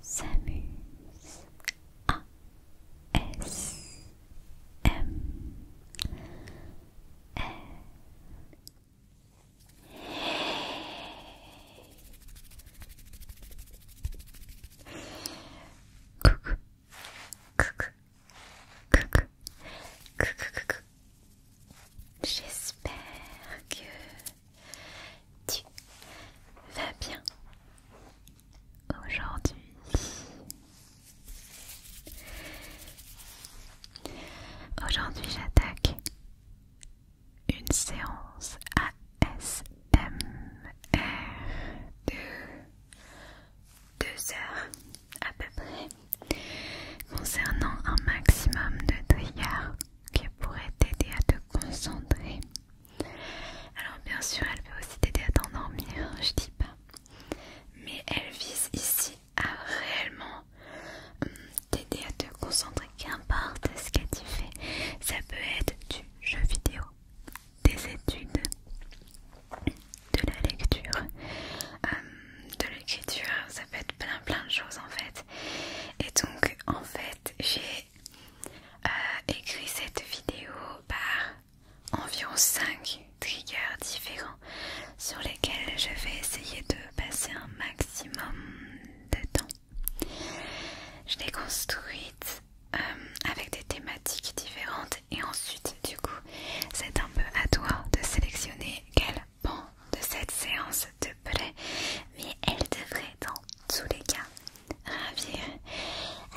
s'amuse A S J'espère que tu vas bien aujourd'hui Aujourd'hui j'attaque une séance ASMR de deux heures à peu près concernant un maximum de triggers qui pourraient t'aider à te concentrer alors bien sûr elle peut aussi t'aider à t'endormir, hein, je dis pas. Mais elle vise ici à réellement hum, t'aider à te concentrer qu'importe ce que tu fais. Ça peut être du jeu vidéo, des études, de la lecture, hum, de l'écriture, ça peut être plein plein de choses en fait. Et donc en fait j'ai euh, écris écrit cette vidéo par environ 5 triggers différents sur lesquels je vais essayer de passer un maximum de temps. Je l'ai construite euh, avec des thématiques différentes et ensuite du coup c'est un peu à toi de sélectionner quel pan de cette séance te plaît mais elle devrait dans tous les cas ravir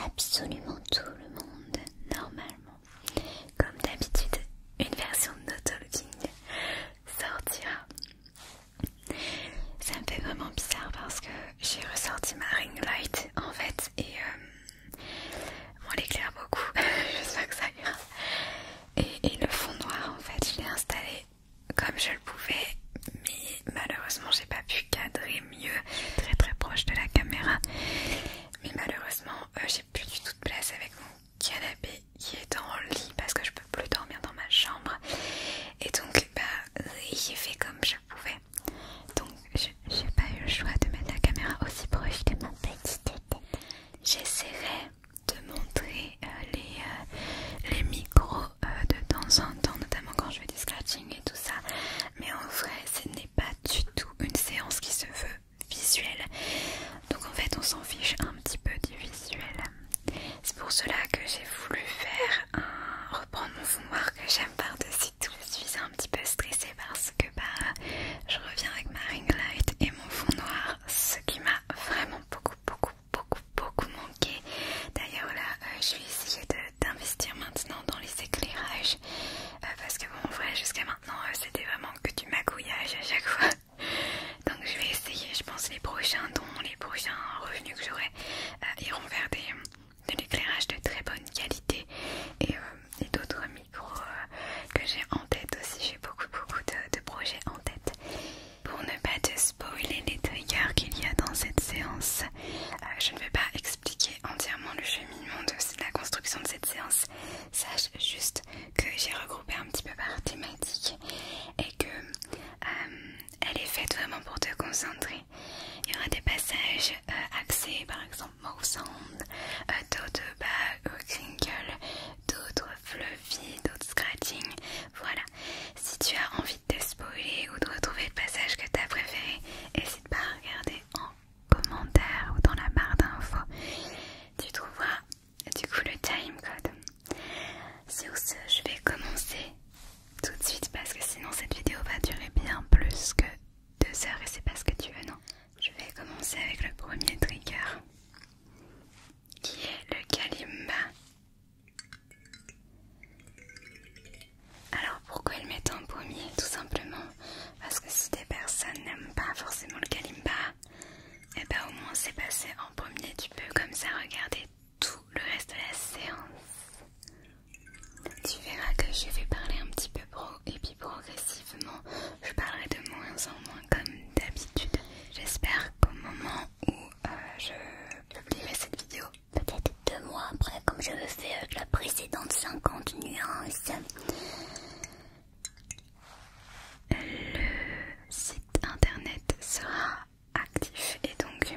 absolument tout le monde normalement. Comme d'habitude, une version de notre looking sortira. Ça me fait vraiment bizarre parce que j'ai ressorti ma ring light en fait et euh, on l'éclaire beaucoup, j'espère que ça ira. et le fond noir en fait, je l'ai installé comme je le pouvais, mais malheureusement j'ai pas pu cadrer mieux, très très proche de la caméra. Mais malheureusement euh, j'ai plus du tout de place avec mon canapé qui est en lit parce que je peux plus dormir dans ma chambre. Et donc bah j'ai fait comme je pouvais. Donc j'ai pas eu le choix de mettre la caméra aussi proche de ma petite tête. J'essaierai de montrer euh, les, euh, les micros de temps en notamment quand je fais du scratching et tout ça. Mais en vrai, ce n'est pas du tout une séance qui se veut visuelle. Donc en fait, on s'en fiche un petit peu du visuel. C'est pour cela que j'ai voulu faire un reprendre mon fond noir que j'aime par-dessus tout. Je suis un petit peu stressée parce que bah, je reviens avec ma ring light et mon fond noir, ce qui m'a vraiment beaucoup, beaucoup, beaucoup, beaucoup manqué. D'ailleurs, là, euh, je vais essayer d'investir maintenant dans les éclairages euh, parce que, bon, en vrai, jusqu'à maintenant, euh, c'était vraiment que du magouillage à chaque fois. Donc, je vais essayer, je pense, les prochains dons, les prochains revenus que j'aurai iront vers de l'éclairage de très bonne qualité et, d'autres micros que j'ai en tête aussi. J'ai beaucoup, beaucoup de, de projets en tête. Pour ne pas te spoiler les triggers qu'il y a dans cette séance. Euh, je ne vais pas expliquer entièrement le cheminement de la construction de cette séance. Sache juste que j'ai regroupé un petit peu par thématique et que euh, elle est faite vraiment pour te concentrer. Il y aura des passages euh, axés, par exemple mouth sound, d'autres bas, crinkle, d'autres fluffy, d'autres scratching. Voilà. Si tu as envie de spoiler ou de retrouver le passage que tu as préféré, n'hésite pas à regarder en commentaire ou dans la barre d'infos. Tu trouveras du coup le time code. Sur ce, je vais commencer tout de suite parce que sinon cette vidéo va durer bien plus que deux heures et c'est pas ce que tu veux, non Je vais commencer avec le premier trigger qui est le Kalimba alors pourquoi il m'est en pommier Tout simplement parce que si des personnes n'aiment pas forcément le kalimba, et eh ben au moins c'est passé en premier, tu peux comme ça regarder tout le reste de la séance. Tu verras que je vais parler un petit peu pro et puis progressivement je parlerai de moins en moins comme d'habitude. J'espère qu'au moment où euh, je publierai cette vidéo, peut-être deux mois après, comme j'avais fait avec la précédente 50 nuances. Le site internet sera actif et donc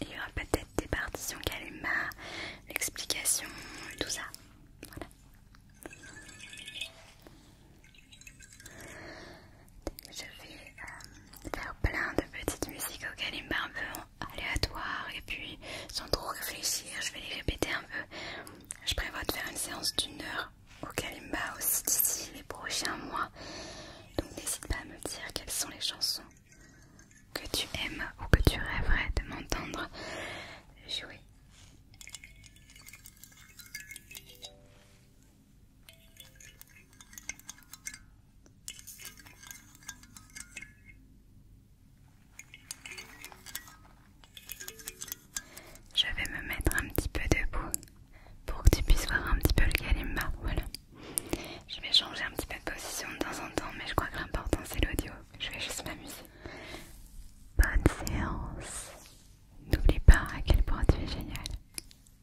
il y aura peut-être des partitions calmes, l'explication, tout ça. Voilà je vais euh, faire plein de petites musiques au kalimba un peu aléatoires et puis sans trop réfléchir, je vais les répéter un peu. Je prévois de faire une séance d'une heure au kalimba aussi d'ici les prochains mois. Donc n'hésite pas à me dire quelles sont les chansons que tu aimes ou que tu rêverais de m'entendre jouer. Je vais me mettre un petit peu debout pour que tu puisses voir un petit peu le kalimba. Voilà. Je vais changer un petit peu de position de temps en temps, mais je crois que l'important c'est l'audio. Je vais juste m'amuser. Bonne séance. N'oublie pas à quel point tu es génial.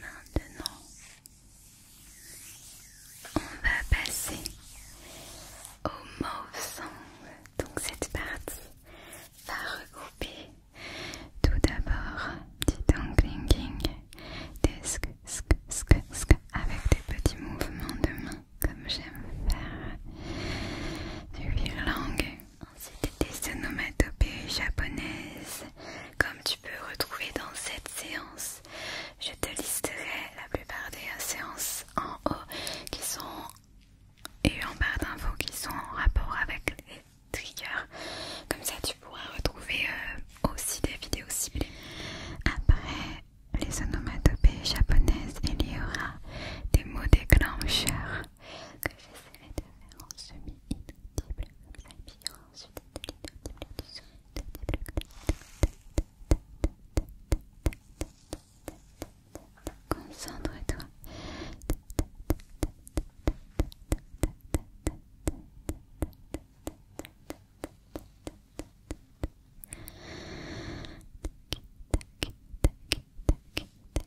Maintenant, on va passer au mauve sang. Donc cette partie va regrouper tout d'abord du dangling, des sk avec des petits mouvements de main comme j'aime faire, du langue. Ensuite, des onomatopées japonaises, comme tu peux retrouver dans cette séance. Je te listerai la plupart des séances en haut qui sont et en barre d'infos qui sont en rapport avec les triggers. Comme ça, tu pourras retrouver euh, aussi des vidéos ciblées. Après les onomatopées japonaises, il y aura des mots déclencheurs que j'essaierai de faire en semi comme ça, de semi concentre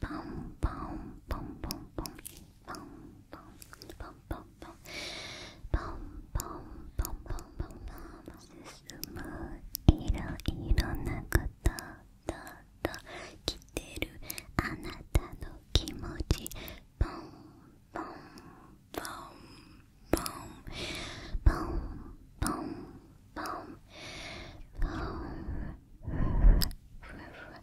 pom pom pom pom pom pom pom pom pom pom pom pom pom pom 進むいろいろなこととと来てるあなたの気持ちポンポンポンポンポンポンポンポンポン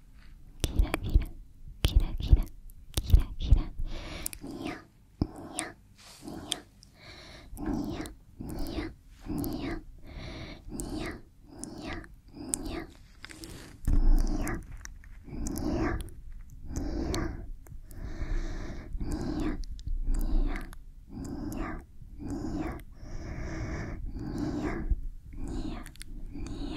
キラキラキラキラキラキラニヤニヤニヤニヤニヤニヤニヤニヤニヤニヤニヤニヤニヤニヤニヤニヤニヤ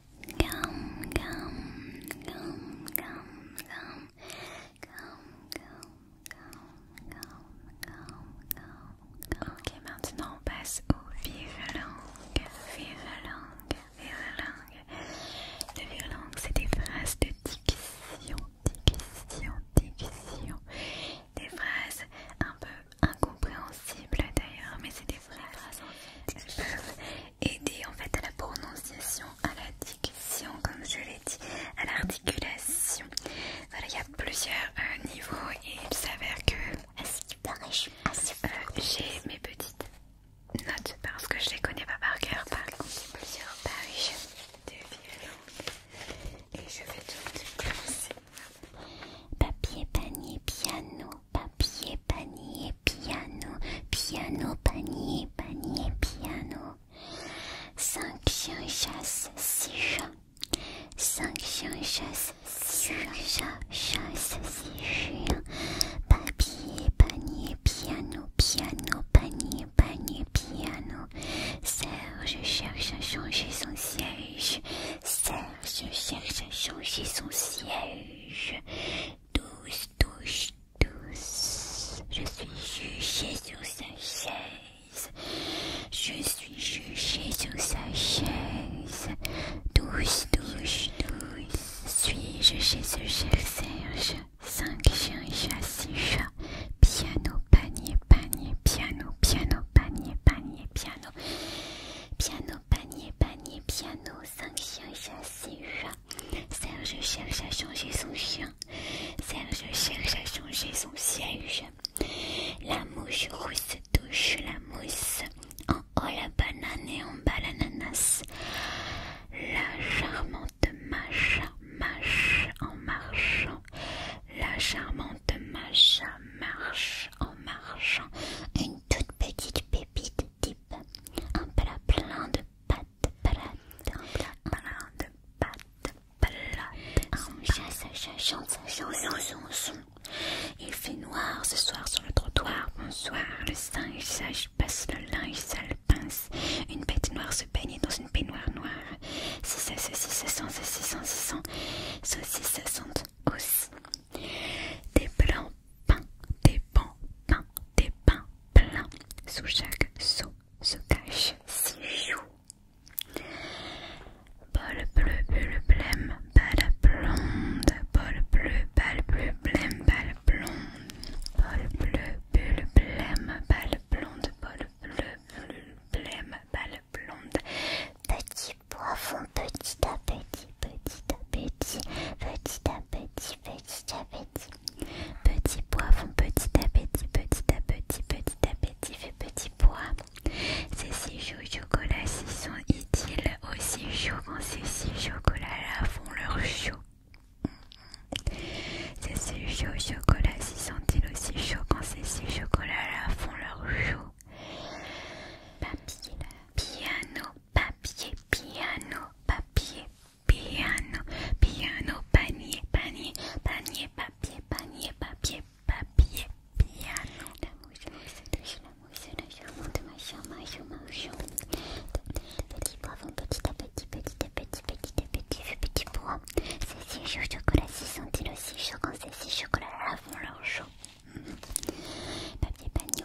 Ok, maintenant on passe au vive-langue. vive passe langue Le vive c'est des phrases de diction, diction, diction. Des phrases un peu incompréhensibles d'ailleurs, mais c'est des phrases aider en fait à la prononciation, à la diction, comme je l'ai dit, à l'articulation. Voilà, il y a plusieurs euh, niveaux et il s'avère que je suis euh, j'ai mes petites notes parce que je les connais pas par cœur, par contre j'ai plusieurs pages de violon et je vais tout commencer. Papier, panier, piano, papier, panier, piano, piano, panier, panier, piano. 5 chiens chassent, 6 chats. Cinq chiens chasse, 6 chats, chasse, 6 chiens. Papier, panier, piano, piano, panier, panier, piano. Serge cherche à changer son siège. Serge cherche à changer son siège. Douze touches, tous. Je suis jugé sur sa chaise. Je suis jugé sur sa chaise. Douche, douche, douce Suis-je chez ce chef Serge Cinq chiens et chats, Piano, panier, panier, piano, piano, panier, panier, piano. Piano, panier, panier, piano. Cinq chiens et chat. Serge cherche à changer son chien. Serge cherche à changer son siège. La mouche rousse touche la mousse. En haut la banane et en bas l'ananas. La charmante macha marche en marchant. La charmante macha marche en marchant. Une toute petite pépite type. Un plat plein de pâte pâte Il fait noir ce soir sur le trottoir. Bonsoir, le singe sage passe le linge sale pince. Une bête noire se baigne dans une peignoire noire. si si, si, si si, so si si, si, Des blancs pain, des bons pains, des pains plein Sous chaque seau se cachent six joues. Bol bleu, bulle blême, balle blonde. Bol bleu, balle bleu, blême, balle blonde. Bol bleu, bulle blême, balle blonde. Bol bleu, bulle blême, balle blonde. Petit poivron, petit à petit, petit à petit, petit à Petit, petit, petit petit petit. Petit font petit à petit, petit à petit, petit à petit, fait petit poids. Ces si petit, chocolat si sont utiles aussi chaud quand ces six chocolats-là font leur chaud. Ces si petit, chocolat si sont aussi chaud quand ces six chocolats-là font leur chaud. Papier, piano, papier, piano, papier, Piano, piano, panier, panier, panier, papier, panier, papier, papier, piano. Petit poivron, petit à petit, petit à petit, petit à petit, petit petit, Ces six chocolats, si chaud la aussi chauds quand six chocolats leur chaud Papier, panier,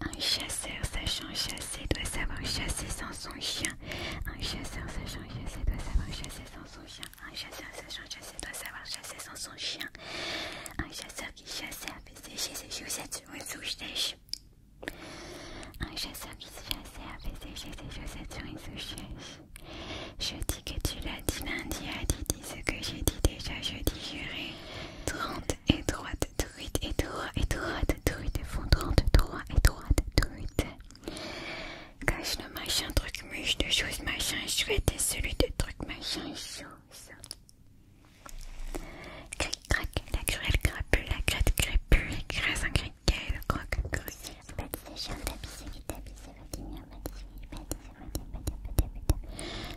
Un chasseur sachant chasser doit savoir chasser sans son chien. Un chasseur sachant chasser doit savoir chasser sans son chien. Un chasseur sachant chasser doit savoir chasser sans son chien. Un chasseur qui chassait a fait sécher ses chaussettes sur une souche Un chasseur qui chassait a fait sécher ses chaussettes sur une souche Je dis que tu l'as dit lundi, a dit, dit ce que j'ai dit déjà, je dis juré. trente. Et et truite, et droite, truite, effondrante, droite, droite, truite. Cache le machin, truc, mûche de choses, machin, chouette et celui de truc, machin, chose. Cric, crac, la grêle, crapule, la crête, crapule, un cric, le croc,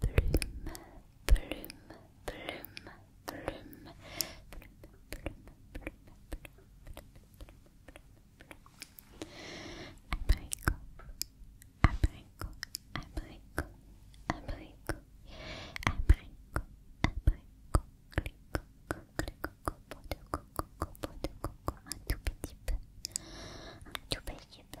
plume, plume, plume, plume, plume, plume, plume plume de coco, un tout un tout petit peu.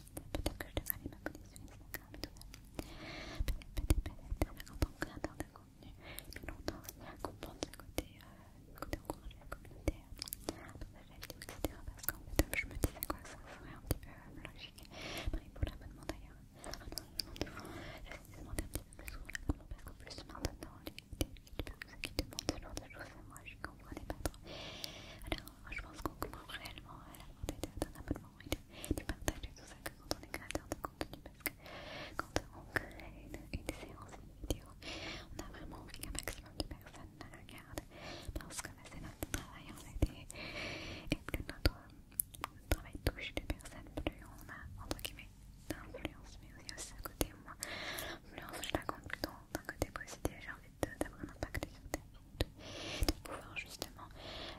peut-être que je devrais aller m'abonner sur Instagram et tout ça. Peut-être, peut-être, peut-être, en tant que créateur de contenu, depuis longtemps, il y a à le côté, du côté encourager la communauté, partager la vidéo, etc. Parce qu'en fait, je me disais quoi, ça serait un petit peu logique. Pareil pour l'abonnement d'ailleurs. Ah je demande, j'essaie de demander un petit peu plus souvent l'abonnement parce qu'en plus, maintenant, les, les, qui demandent ce genre de choses, moi, on Alors, je pense qu'on commence réellement à l'avantage des abonnement et du partage et tout ça que quand on est créateur de contenu parce que quand on crée une, séance, une vidéo, on a vraiment envie qu'un maximum de personnes la regardent parce que c'est notre travail en fait et, que plus notre, travail touche des personnes, plus on a entre guillemets d'influence, mais aussi à ce côté, moi, l'influence, je la compte plutôt d'un côté positif, j'ai envie d'avoir un impact sur ta vie, de pouvoir justement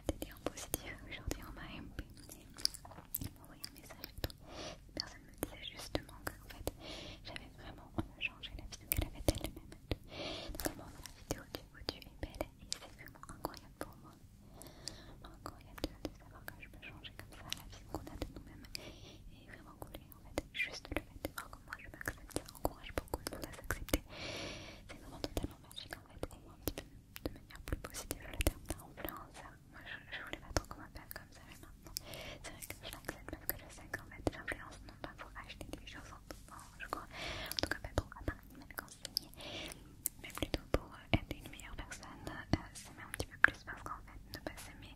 t'aider en positif. Aujourd'hui, en m'a MP, envoyé un message et personne me disait justement qu'en fait, j'avais vraiment changé la vie, qu'elle avait elle-même. Donc, bon, la vidéo du haut belle et c'est vraiment incroyable pour moi. Incroyable de savoir que je peux changer comme ça la vie qu'on a de nous-mêmes. Et vraiment cool, en fait, juste le fait de voir que moi je m'accepte encourage beaucoup de monde à s'accepter. C'est vraiment totalement magique en fait, au un petit peu de manière plus positive le terme d'influence. Moi je, voulais pas trop qu'on comme ça, mais maintenant c'est vrai que je l'accepte parce que je sais qu'en fait l'influence non pas pour acheter des choses en tout temps, je crois, en tout cas pas trop à part mais plutôt pour euh, être une meilleure personne, s'aimer euh, un petit peu plus parce qu'en fait ne pas s'aimer,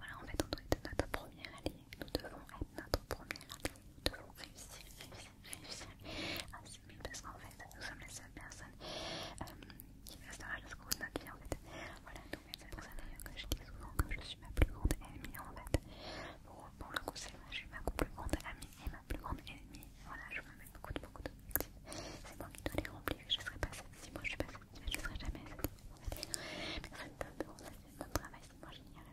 voilà en fait on doit être notre premier allié, nous devons être notre premier allié nous devons réussir, réussir, réussir à ah, 6000 parce qu'en fait, nous sommes les seules personnes euh, qui restera jusqu'au bout de notre vie en fait. Voilà, donc c'est pour ça d'ailleurs que je dis souvent que je suis ma plus grande ennemie en fait. pour le coup, c'est moi, je suis ma plus grande amie et ma plus grande ennemie. Voilà, je me mets beaucoup de beaucoup d'objectifs. C'est moi qui dois les remplir, je ne serai pas Si moi je suis pas satisfaite, je ne serai jamais satisfaite. Personne d'autre, ça c'est mon travail, c'est moi génial.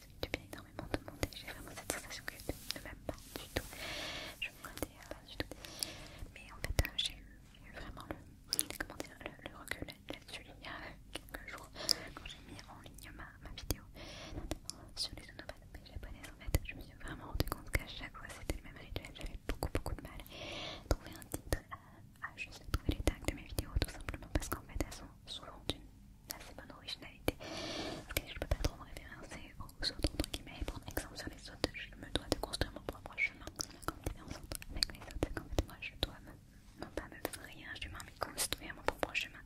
tu bien énormément de monde et j'ai vraiment cette sensation que je ne m'aimes pas du tout. Je me connais euh, pas du tout. Mais en fait, euh, j'ai eu vraiment le, comment dire, le, recul là-dessus il y a quelques jours quand j'ai mis en ligne ma, ma vidéo sur les onomatopées japonaises. En fait, je me suis vraiment rendu compte qu'à chaque fois c'était le même rituel. J'avais beaucoup, beaucoup de mal à trouver un titre, à, juste trouver les tags de mes vidéos tout simplement parce qu'en fait, elles sont souvent d'une c'est bonne originalité. je peux pas trop me référencer aux autres entre guillemets et exemple sur les autres. Je me dois de construire mon propre chemin. avec les autres, c'est fait moi je dois me, non pas faire rien, je dois construire mon propre chemin.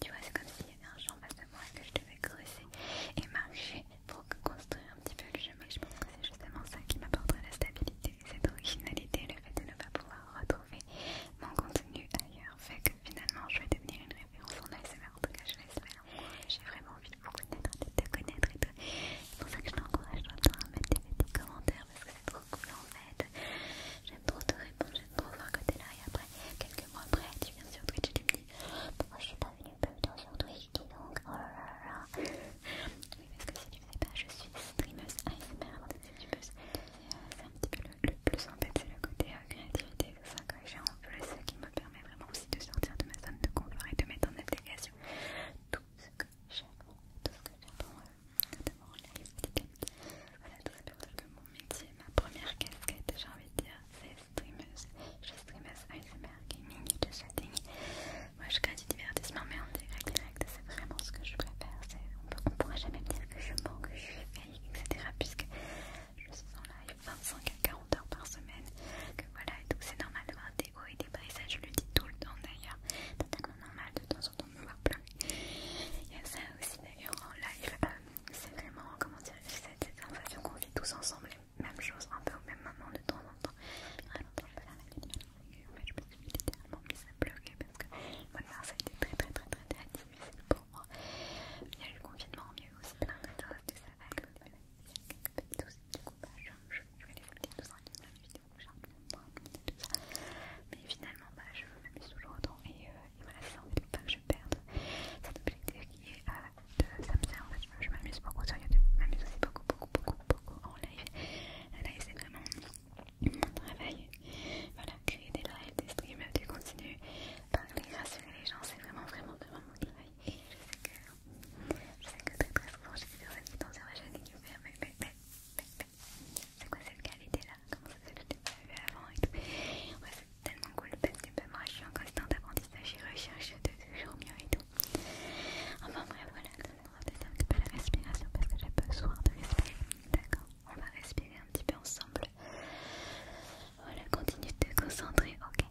Tu vois, c'est comme s'il y avait un champ face à moi que je devais creuser et marcher pour construire un petit peu le chemin. Je pense que c'est justement ça qui m'apportera la stabilité, cette originalité, le fait de ne pas pouvoir retrouver mon contenu ailleurs fait que finalement je vais devenir une référence en ASMR, en tout cas je vais l'espère. J'ai vraiment envie de vous connaître, de te connaître et tout. C'est pour ça que je t'encourage à mettre des, petits commentaires parce que c'est trop cool en fait. J'aime trop te répondre, j'aime trop voir que t'es là et après, quelques mois après, tu viens sur Twitch et tu me dis pourquoi bah, je suis pas venue plus sur Twitch, donc, oh là là la Oui, parce que si tu ne sais pas, je suis streameuse ASMR, avant euh, C'est un petit peu le, plus en c'est le côté euh, créativité c'est ça que j'ai en plus ce qui me permet vraiment aussi de sortir de ma zone de confort et de mettre en application tout ce que j'aime, tout ce que j'adore, euh, notamment en Voilà tout ça pour dire que mon métier, ma première casquette j'ai envie de dire c'est streameuse. Je suis streameuse ASMR gaming et de chatting. Moi je crée du divertissement mais en direct direct c'est vraiment ce que je préfère. On ne pourra jamais me dire que je manque, que je suis fake, etc. Puisque je suis en live 25 à 40 heures par semaine, que voilà, et tout, c'est normal d'avoir des hauts et des bas, et ça je le dis tout le temps d'ailleurs, c'est tellement normal de temps en temps de me voir pleurer. Il y a ça aussi d'ailleurs en live, euh, c'est vraiment, comment dire, cette, cette sensation qu'on vit tous ensemble, même chose, un peu au même moment de temps en temps. je faire la vidéo, me suis littéralement mise à pleurer parce que le a été très très très très, très difficile il y a eu le confinement, il y a eu aussi plein de choses, des savales, Il y a quelques petites choses, du coup, bah, je, vais les foutre tous en ligne les vidéos que j'ai un peu moins, tout ça. Mais finalement, bah, je m'amuse toujours autant et, euh, voilà, c'est ça en fait, pas que je perde cet objectif qui est euh, de ça me sert en fait, je, m'amuse beaucoup sur YouTube, je m'amuse aussi beaucoup, beaucoup, beaucoup, beaucoup en live. La live, c'est vraiment mon travail. Voilà, créer des lives, des streams, des contenus parler, rassurer les gens, c'est vraiment vraiment vraiment mon travail. Et je sais que, je sais que très très souvent j'ai des personnes dans un sur qui me mais c'est quoi cette qualité là Comment ça se fait que pas vu avant et tout C'est tellement cool parce que ben, moi je suis en constante apprentissage et recherche toujours mieux et tout. Enfin bref voilà, on va tester un petit peu la respiration parce que j'ai besoin de respirer. D'accord On va respirer un petit peu ensemble. Voilà, continue de te concentrer, ok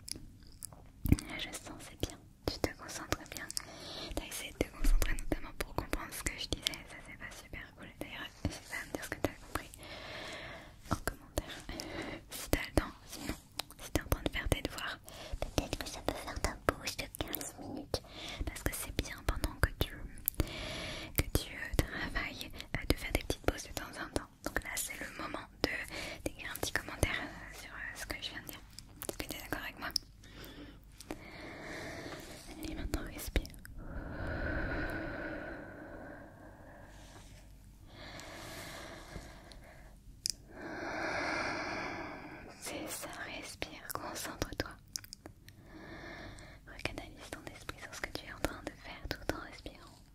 Je sens, c'est bien, tu te concentres bien. T'as essayé de te concentrer notamment pour comprendre ce que je disais, ça c'est pas super cool. D'ailleurs, n'hésite pas à me dire ce que tu as compris en commentaire. si t'as le temps, sinon, si es en train de faire tes devoirs, peut-être que ça peut faire ta pause de 15 minutes. Parce que c'est bien pendant que tu, euh, travailles euh, de faire des petites pauses de temps en temps. Donc là c'est le moment de d'écrire un petit commentaire euh, sur euh, ce que je viens de dire. Est-ce que tu es d'accord avec moi Allez maintenant respire. C'est ça, respire, concentre-toi. Recanalise ton esprit sur ce que tu es en train de faire tout en respirant.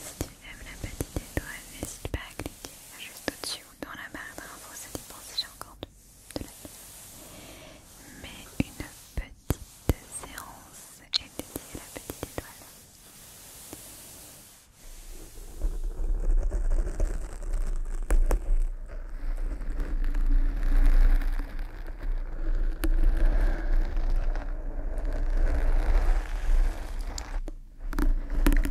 Si tu aimes la petite étoile, n'hésite pas à cliquer juste au-dessus ou dans la barre d'infos, ça dépend si j'ai encore de, la la Mais une petite séance est dédiée à la petite étoile.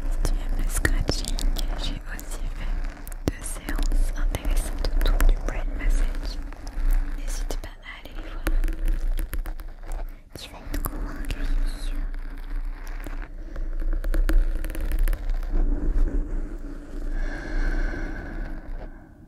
Si tu aimes le scratching, j'ai aussi fait deux séances intéressantes autour du brain massage. N'hésite pas à aller les voir. Tu vas être convaincu, je suis sûre.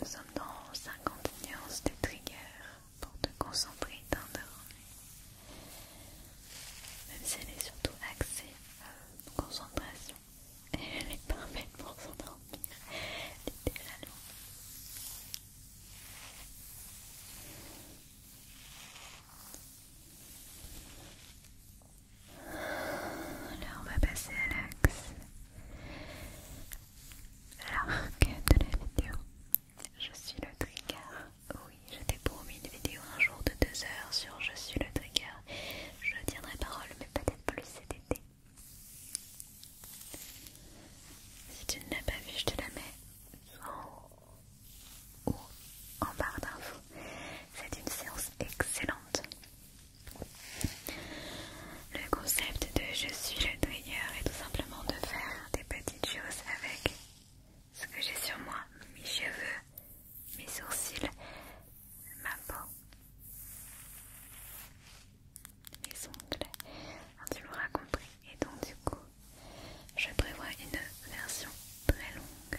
Nous sommes dans 50 nuances de trigger pour te concentrer et t'endormir. Même si elle est surtout axée la euh, concentration, et elle est parfaite pour s'endormir. Littéralement. on va passer à l'axe l'arc de la vidéo. Je suis le trigger. Oui, je t'ai promis une vidéo un jour de deux heures sur Je suis le trigger. Je tiendrai parole, mais peut-être plus cet été. Si tu ne l'as pas vu, je te la mets en haut ou en barre d'infos. C'est une séance excellente le concept de je suis le tailleur est tout simplement de faire des petites choses avec ce que j'ai sur moi, mes cheveux, mes sourcils, ma peau, mes ongles, hein, tu l'auras compris. Et donc du coup, je prévois une version très longue.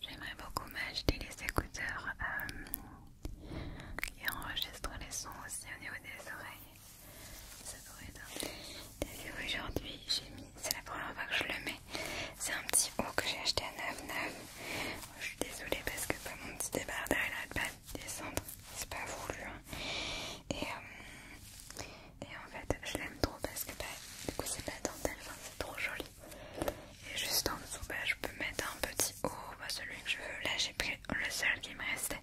J'aimerais beaucoup m'acheter les écouteurs qui euh, enregistrent les sons aussi au niveau des oreilles ça pourrait être aujourd'hui j'ai mis, c'est la première fois que je le mets C'est un petit haut que j'ai acheté à 9,9 Je suis désolée parce que bah, mon petit débardeur il arrête pas de descendre C'est pas voulu hein. euh, et, en fait je l'aime trop parce que bah, du coup c'est pas dentelle, c'est trop joli et juste en dessous bah, je peux mettre un petit haut, celui que je veux Là j'ai pris le seul qui me restait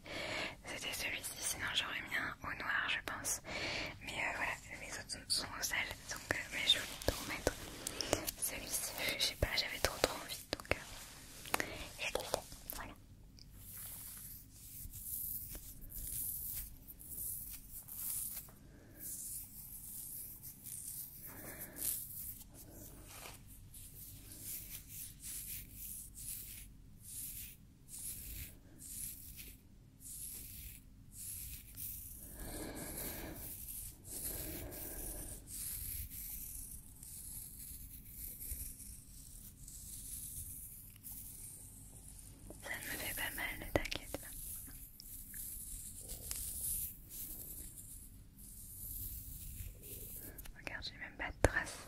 c'était celui-ci, sinon j'aurais mis un au noir, je pense. Mais euh, voilà, mes autres sont, au sale, donc euh, mais je voulais tout remettre celui-ci. Je sais pas, j'avais trop trop envie, donc je euh, Voilà. Ça ne me fait pas mal, t'inquiète pas. Regarde, j'ai même pas de traces.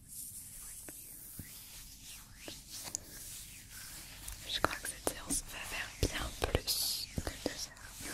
Je crois que cette séance va faire bien plus que deux heures.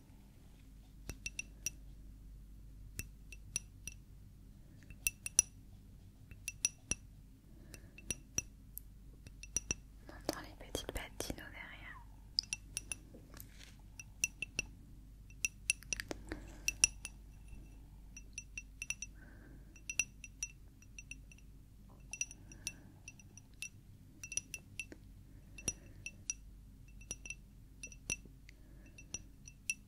On entend les petites pattes d'Ino derrière.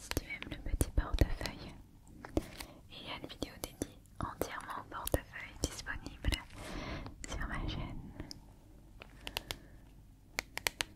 Si tu aimes le petit portefeuille, il y a une vidéo dédiée entièrement au portefeuille disponible sur ma chaîne.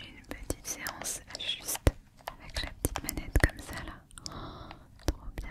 Une petite séance juste avec la petite manette comme ça là. Oh, trop bien.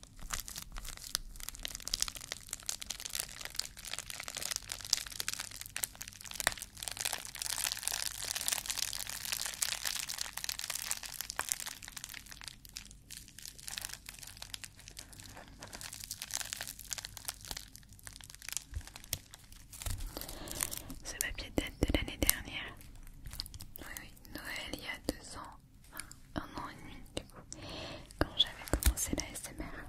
Ce papier date de l'année dernière. Oui, oui, Noël il y a deux ans enfin un an et demi du coup, quand j'avais commencé la SMR.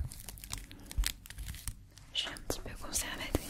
j'ai un petit peu conservatrice.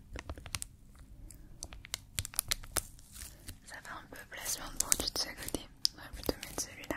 Ça fait un peu placement de produit de ce côté. On va plutôt mettre celui-là.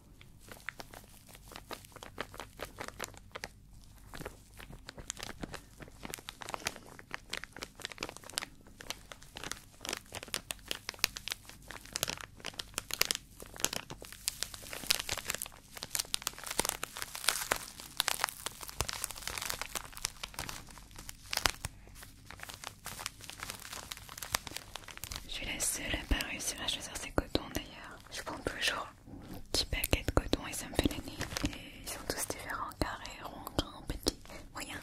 Je suis la seule à pas réussir à choisir ces cotons d'ailleurs. Je compte toujours Petit paquet de coton et ça me fait l'année. Et ils sont tous différents, carrés, ronds, grands, petits, moyens.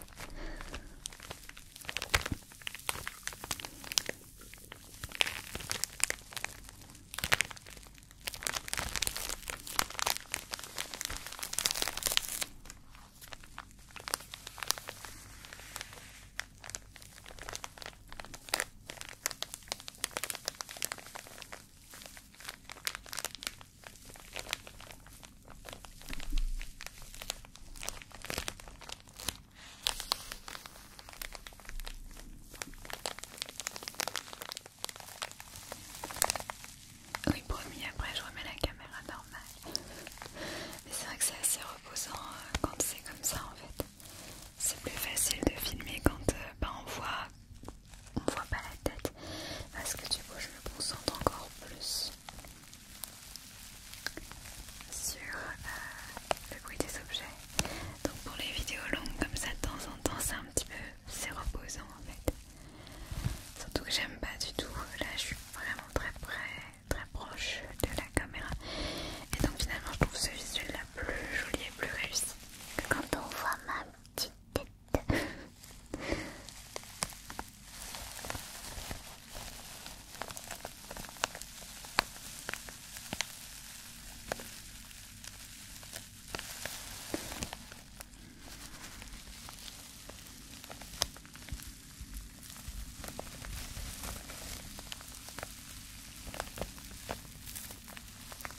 Oui, promis, après je remets la caméra normale. Mais c'est vrai que c'est assez reposant euh, quand c'est comme ça en fait c'est plus facile de filmer quand euh, bah, on voit on voit pas la tête parce que du coup je me concentre encore plus sur euh, le bruit des objets donc pour les vidéos longues comme ça de temps en temps c'est un petit peu c'est reposant en fait surtout que j'aime pas du tout là je suis vraiment très près très proche de la caméra et donc finalement je trouve ce visuel là plus jolie et plus réussie que quand on voit ma petite tête.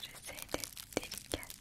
J'essaie d'être délicate.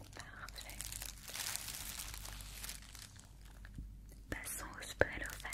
Passons au spalofan.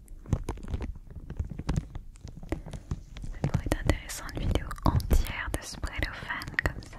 Ça pourrait être intéressant une vidéo entière de spray fan comme ça.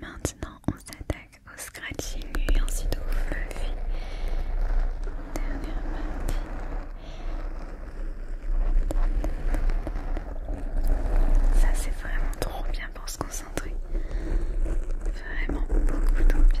Maintenant, on s'attaque au scratching et ensuite au ça c'est vraiment trop bien pour se concentrer. Vraiment beaucoup trop bien.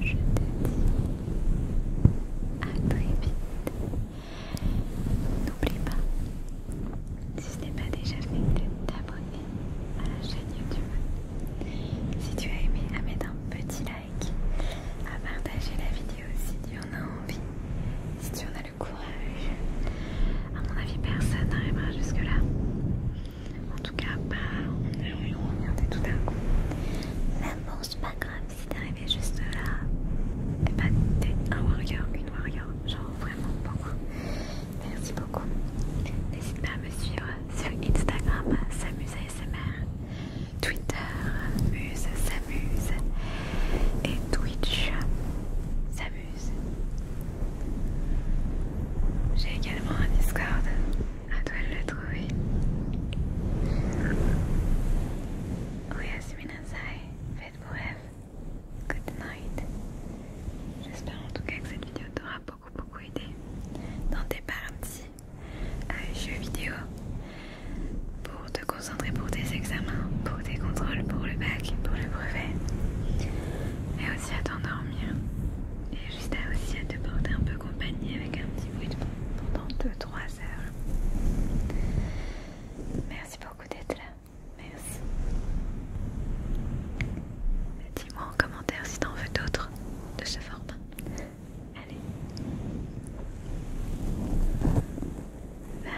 Je te dis à très vite. N'oublie pas, si ce n'est pas déjà fait, de t'abonner à la chaîne YouTube. Si tu as aimé, à mettre un petit like, à partager la vidéo si tu en as envie, si tu en as le courage. À mon avis, personne n'arrivera jusque-là. En tout cas, pas on est de tout d'un coup. Même bon, c'est pas grave si t'es arrivé juste là. Et bah, t'es un warrior, une warrior. Genre, vraiment, beaucoup Merci beaucoup. N'hésite pas à me suivre sur Instagram Samuse ASMR, Twitter Muse Samuse et Twitch Samuse. J'ai également un Discord, à toi de le trouver. Oui, Asminazai, faites vos rêves. Good night. J'espère en tout cas que cette vidéo t'aura beaucoup beaucoup aidé dans tes parties à euh, jeux vidéo pour te concentrer pour tes examens, pour tes contrôles, pour le bac, pour le brevet et aussi à t'endormir et juste aussi à te porter un peu compagnie avec un petit bruit de pendant 2-3 heures. Merci beaucoup d'être là. Merci. Dis-moi en commentaire si t'en veux d'autres de ce format. Allez. Bye.